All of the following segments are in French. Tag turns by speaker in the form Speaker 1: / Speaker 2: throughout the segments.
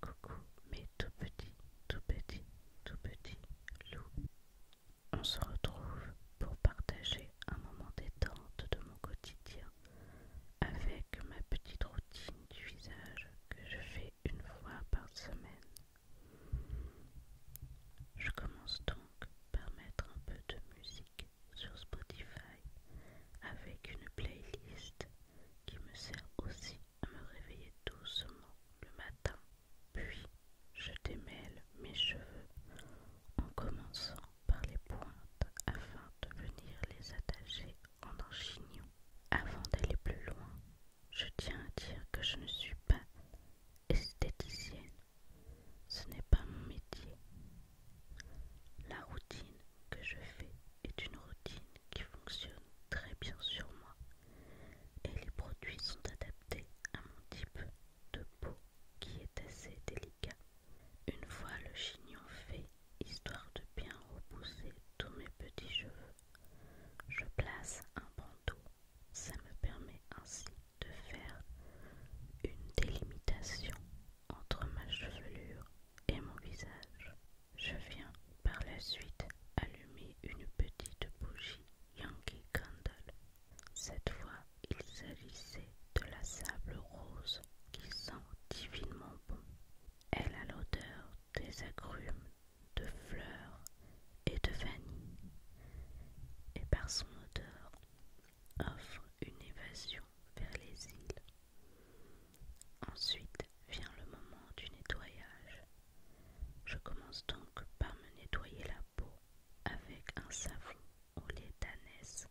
Speaker 1: Coucou, mes tout petits, tout petits, tout petits loups. On se retrouve pour partager un moment détente de mon quotidien avec ma petite routine du visage que je fais une fois par semaine. Je commence donc par mettre un peu de musique sur Spotify avec une playlist qui me sert aussi à me réveiller doucement le matin. Puis je démêle mes cheveux en commençant par les pointes afin de venir les attacher en un chignon. Avant d'aller plus loin, je tiens à dire que je ne suis pas esthéticienne ce n'est pas mon métier. La routine que je fais est une routine qui fonctionne très bien sur moi et les produits sont adaptés à mon type de peau qui est assez délicat. Une fois le chignon fait, histoire de bien repousser tous mes petits cheveux, je place un bandeau ça me permet ainsi de faire une délimitation entre ma chevelure et mon visage. Je viens par la suite allumer une petite bougie Yankee Candle. Cette fois, il s'agissait de la sable rose qui sent divinement bon. Elle a l'odeur des agrumes, de fleurs et de vanille. Et par son odeur, offre une évasion vers les îles. Ensuite vient le moment du nettoyage. Je commence donc par me nettoyer la peau avec un savon au lait d'ânesse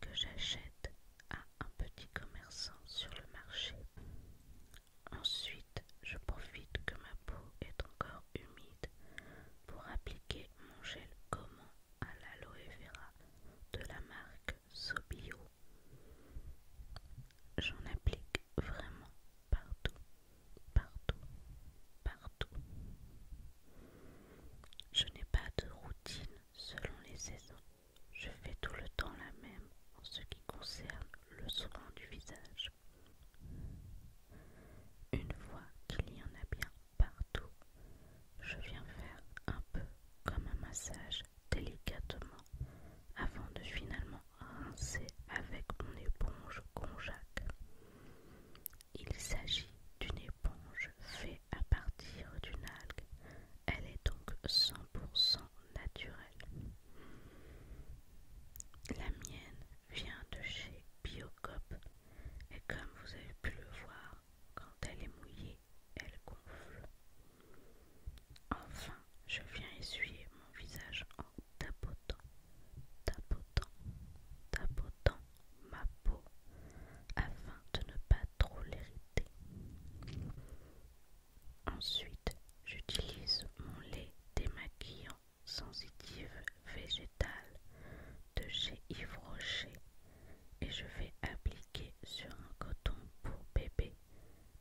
Speaker 1: que j'achète à un petit commerçant sur le marché. Ensuite, je profite que ma peau est encore humide pour appliquer mon gel comment à l'aloe vera de la marque Sobio. J'en applique vraiment partout, partout, partout. Je n'ai pas de routine selon les saisons. Je fais tout le temps la même en ce qui concerne le soin du visage. Une fois qu'il y en a bien partout, je viens faire un peu comme un massage délicatement avant de finalement rincer avec mon éponge conjac. Il s'agit d'une éponge faite à partir d'une algue. Elle est donc 100% naturelle. La mienne vient de chez Biocop et comme vous avez pu le voir, quand elle est mouillée, elle gonfle. Enfin, je viens essuyer mon visage en tapotant, tapotant, tapotant ma peau afin de ne pas trop l'hériter. Ensuite, j'utilise mon lait démaquillant sensitive végétale de chez Yves Rocher et je vais appliquer sur un coton pour bébé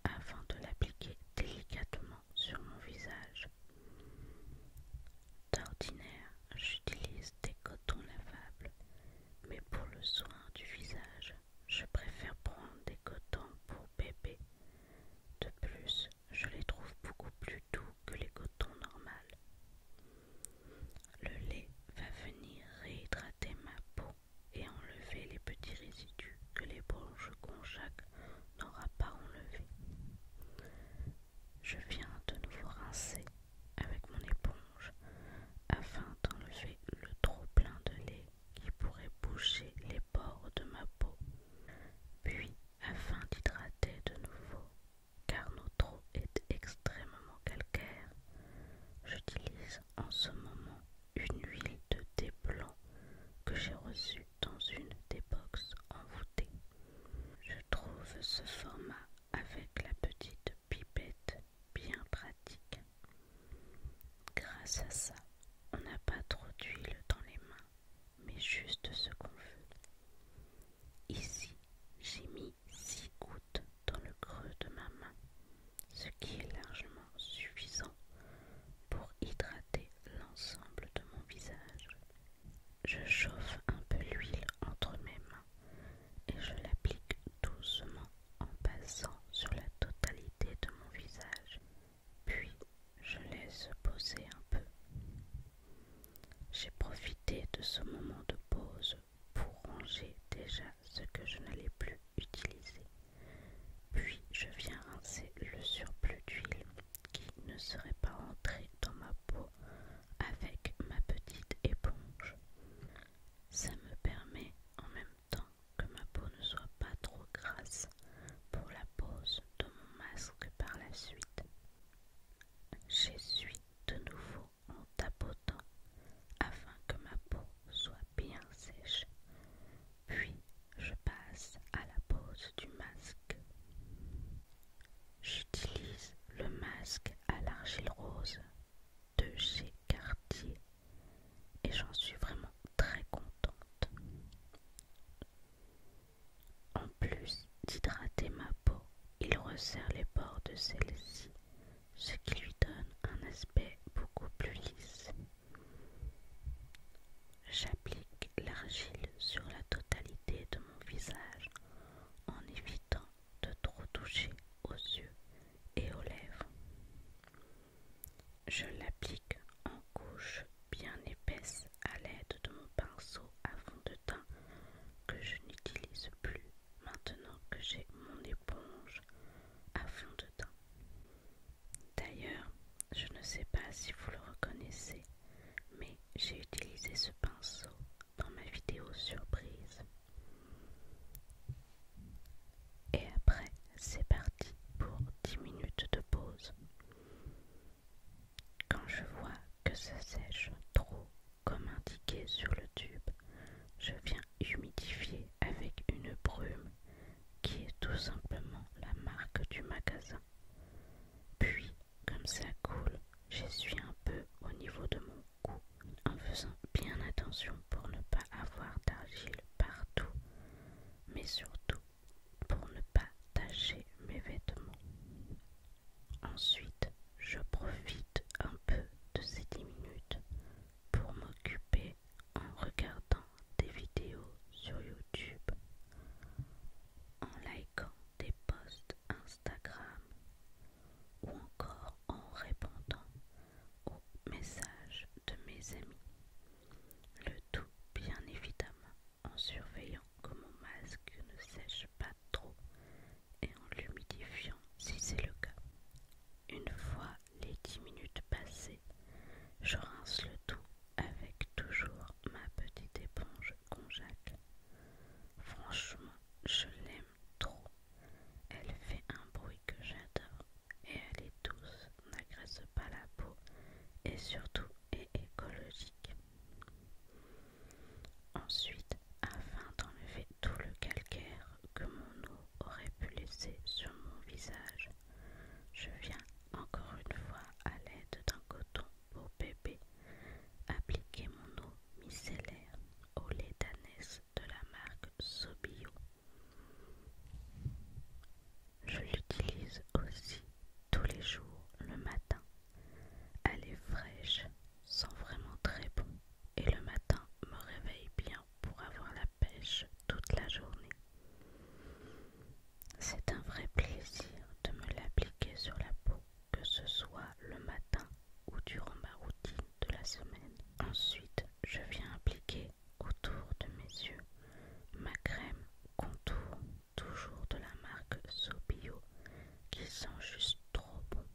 Speaker 1: avant de l'appliquer délicatement sur mon visage. D'ordinaire, j'utilise des cotons lavables, mais pour le soin du visage, je préfère prendre des cotons pour de plus, je les trouve beaucoup plus doux que les cotons normales. Le lait va venir réhydrater ma peau et enlever les petits résidus que l'éponge Conjac n'aura pas enlevés. Je viens de nouveau rincer avec mon éponge afin d'enlever le trop plein de lait qui pourrait boucher les bords de ma peau, puis afin d'hydrater de nouveau, car notre eau est extrêmement calcaire, j'utilise en ce moment une huile de thé blanc que j'ai reçue dans une des boxes envoûtées. Je trouve ce format avec la petite pipette bien pratique. Grâce à ça, on n'a pas trop d'huile dans les mains, mais juste ce qu'on veut. Ici, j'ai mis six gouttes dans le creux de ma main, ce qui est largement suffisant pour hydrater l'ensemble de mon visage. Je chauffe un peu l'huile entre mes mains et je l'applique doucement en passant sur la totalité de mon visage puis je laisse poser un peu. J'ai profité de ce moment de pause pour ranger déjà ce que je n'allais plus utiliser. Puis je viens rincer le surplus d'huile qui ne serait pas entré dans ma peau avec ma petite éponge. Ça me permet en même temps que ma peau ne soit pas trop grasse pour la pose de mon masque par la suite. J'essuie de nouveau en tapotant afin que ma peau soit bien sèche, puis je passe à la pose du masque. J'utilise le masque à l'argile rose de chez Cartier et j'en suis vraiment très contente. En plus d'hydrater ma peau, il resserre les bords de celle-ci, ce qui lui donne un aspect beaucoup plus lisse. J'applique l'argile sur la totalité de mon visage en évitant de trop toucher aux yeux et aux lèvres. Je l'applique en couche bien épaisse à l'aide de mon pinceau à fond de teint que je n'utilise plus maintenant que j'ai mon éponge à fond de teint. D'ailleurs, je ne sais pas si vous le reconnaissez, mais j'ai utilisé ce pinceau dans ma vidéo surprise et après, c'est parti pour 10 minutes de pause. Quand je vois que ça sèche trop, comme indiqué sur le tube, je viens humidifier avec une brume qui est tout simplement la marque du magasin. Puis, comme ça coule, j'essuie un peu au niveau de mon en faisant bien attention pour ne pas avoir d'argile partout, mais surtout pour ne pas tacher mes vêtements. Ensuite, je profite un peu de ces 10 minutes pour m'occuper en regardant des vidéos sur YouTube, en likant des posts Instagram ou encore en répondant au message de mes amis. Le tout, bien évidemment, en surveillant que mon masque ne sèche pas trop et en l'humidifiant si c'est le cas. Une fois les dix minutes passées, je rince le tout avec toujours ma petite éponge conjac. Franchement, je l'aime trop. Elle fait un bruit que j'adore et elle est douce, n'agresse pas la peau et surtout est écologique. Ensuite, afin d'enlever tout le calcaire que mon eau aurait pu laisser sur mon visage, je viens encore une fois à l'aide d'un coton pour bébé appliquer mon eau micellaire au lait d'anès de la marque Sobio. Je l'utilise aussi tous les jours le matin. Elle est fraîche, sent vraiment très bon et le matin me réveille bien pour avoir la pêche toute la journée. C'est un vrai plaisir de me l'appliquer sur la peau, que ce soit le matin ou durant ma routine de la semaine. Ensuite, je viens appliquer autour de mes yeux ma crème contour, toujours de la marque Sobio, qui sent juste trop bon.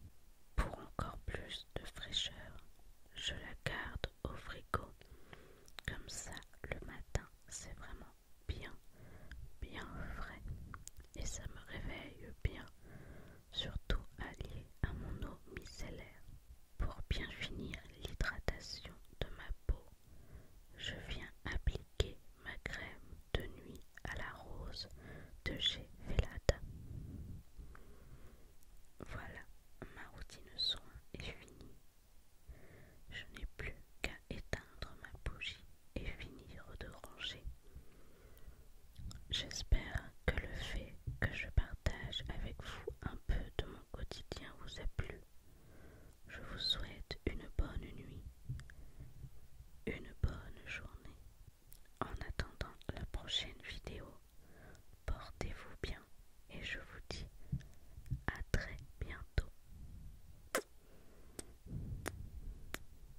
Speaker 1: Pour encore plus de fraîcheur, je la garde au frigo. Comme ça, le matin, c'est vraiment bien, bien frais et ça me réveille bien, surtout allié à mon eau micellaire. Pour bien finir l'hydratation de ma peau, je viens appliquer ma crème de nuit à la rose de chez Voilà, ma routine de soin est finie. Je n'ai plus qu'à éteindre ma bougie et finir de ranger. J'espère que le fait que je partage avec vous un peu de mon quotidien vous a plu. Je vous souhaite une bonne nuit, une bonne journée. En attendant la prochaine vidéo, portez-vous bien et je vous dis à très bientôt.